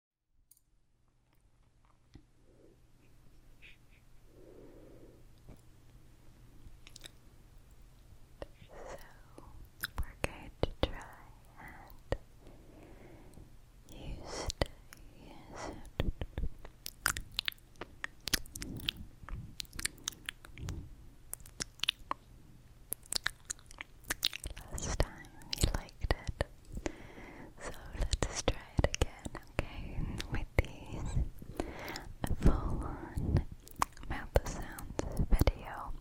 we're going to try and use it. Last time you liked it. So let's try it again, okay? With these full mouth sounds video.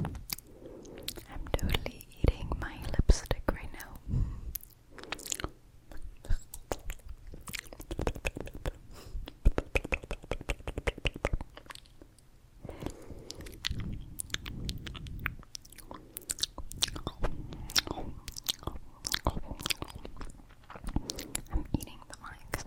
I'm totally eating my lipstick right now. I'm eating the mic.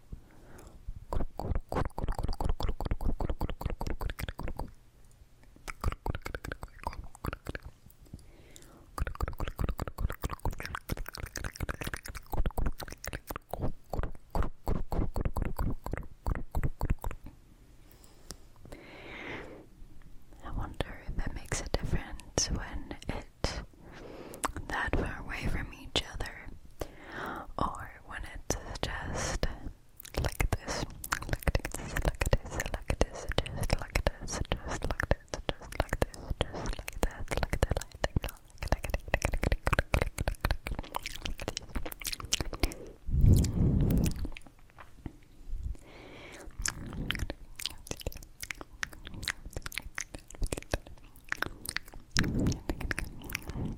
I wonder if it makes a difference when it's that far away from each other, or I wanted to suggest like this, like this, like this, like this, just like this, just like this, just like this, just like that, like that, like that, like that, like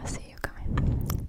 I see you coming.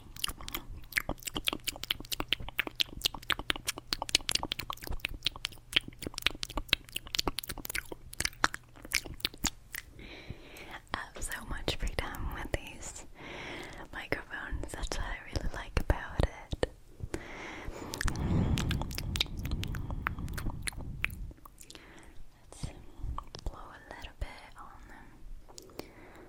I have so much freedom with these microphones, that's what I really like about it. Let's blow a little bit on them.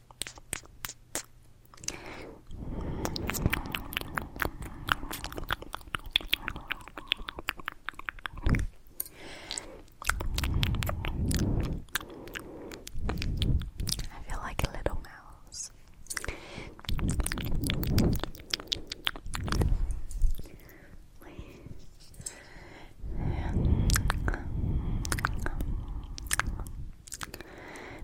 I feel like a little mouse.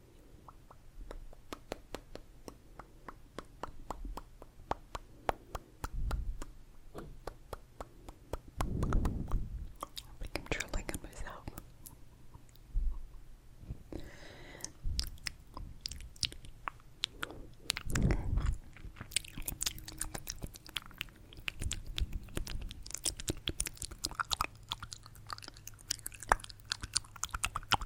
I think I'm trolling on myself.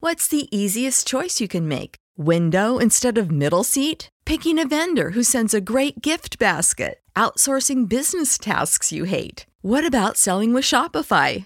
What's the easiest choice you can make? Window instead of middle seat? Picking a vendor who sends a great gift basket? Outsourcing business tasks you hate? What about selling with Shopify?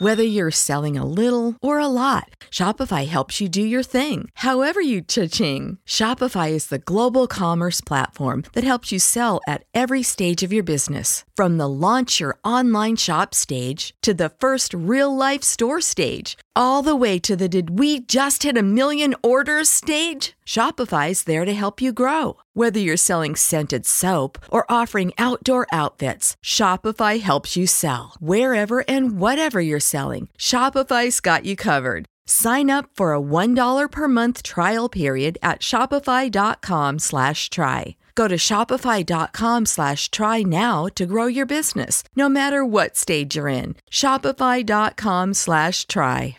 Whether you're selling a little or a lot, Shopify helps you do your thing, however you cha-ching. Shopify is the global commerce platform that helps you sell at every stage of your business. From the launch your online shop stage to the first real life store stage, all the way to the did we just hit a million orders stage? Shopify's there to help you grow. Whether you're selling scented soap or offering outdoor outfits, Shopify helps you sell. Wherever and whatever you're selling, Shopify's got you covered. Sign up for a $1 per month trial period at shopify.com slash try. Go to shopify.com slash try now to grow your business, no matter what stage you're in. Shopify.com slash try.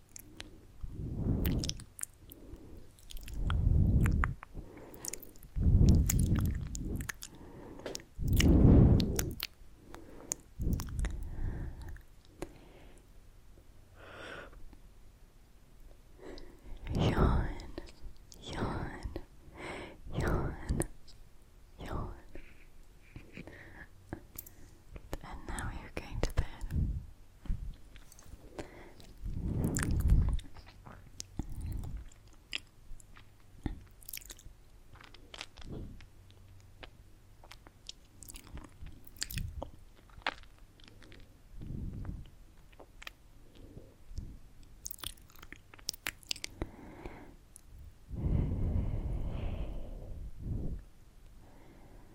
Yawn, yawn, yawn, yawn, and now you're going to bed.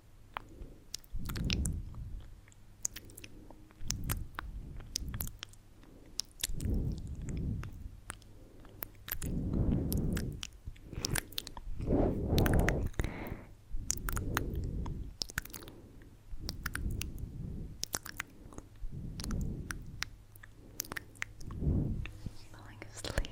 Falling asleep.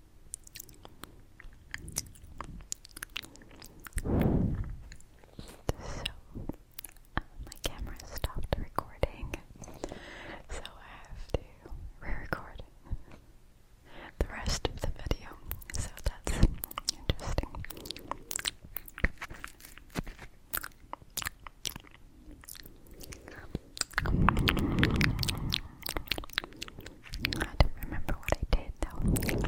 uh, my camera stopped recording, so I have to re-record the rest of the video. So that's interesting. I don't remember what I did though.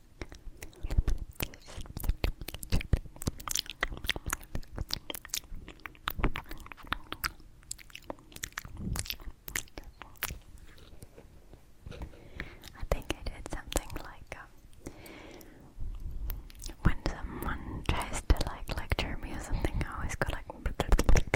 I think I did something like um, when someone tries to like lecture me or something, I always go like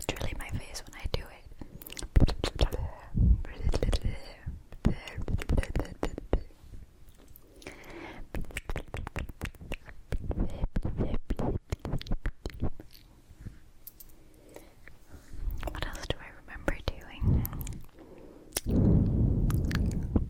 literally my face when I do it. What else do I remember doing?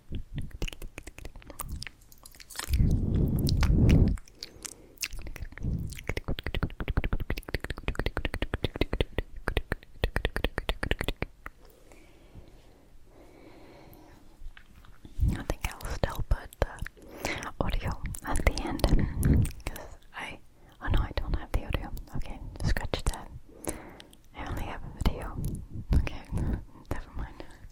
I think I'll put the audio at the end because I oh no I don't have the audio. Okay, scratch that. I only have a video. Okay, never mind.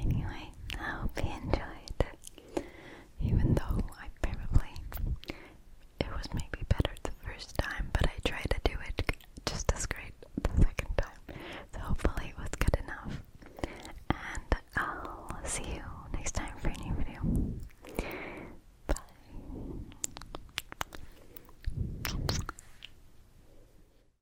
Anyway, I hope you enjoyed. Even though I probably it was maybe better the first time, but I tried to do it just as great the second time. So hopefully it was good enough. And I'll see you next time for a new video. Bye.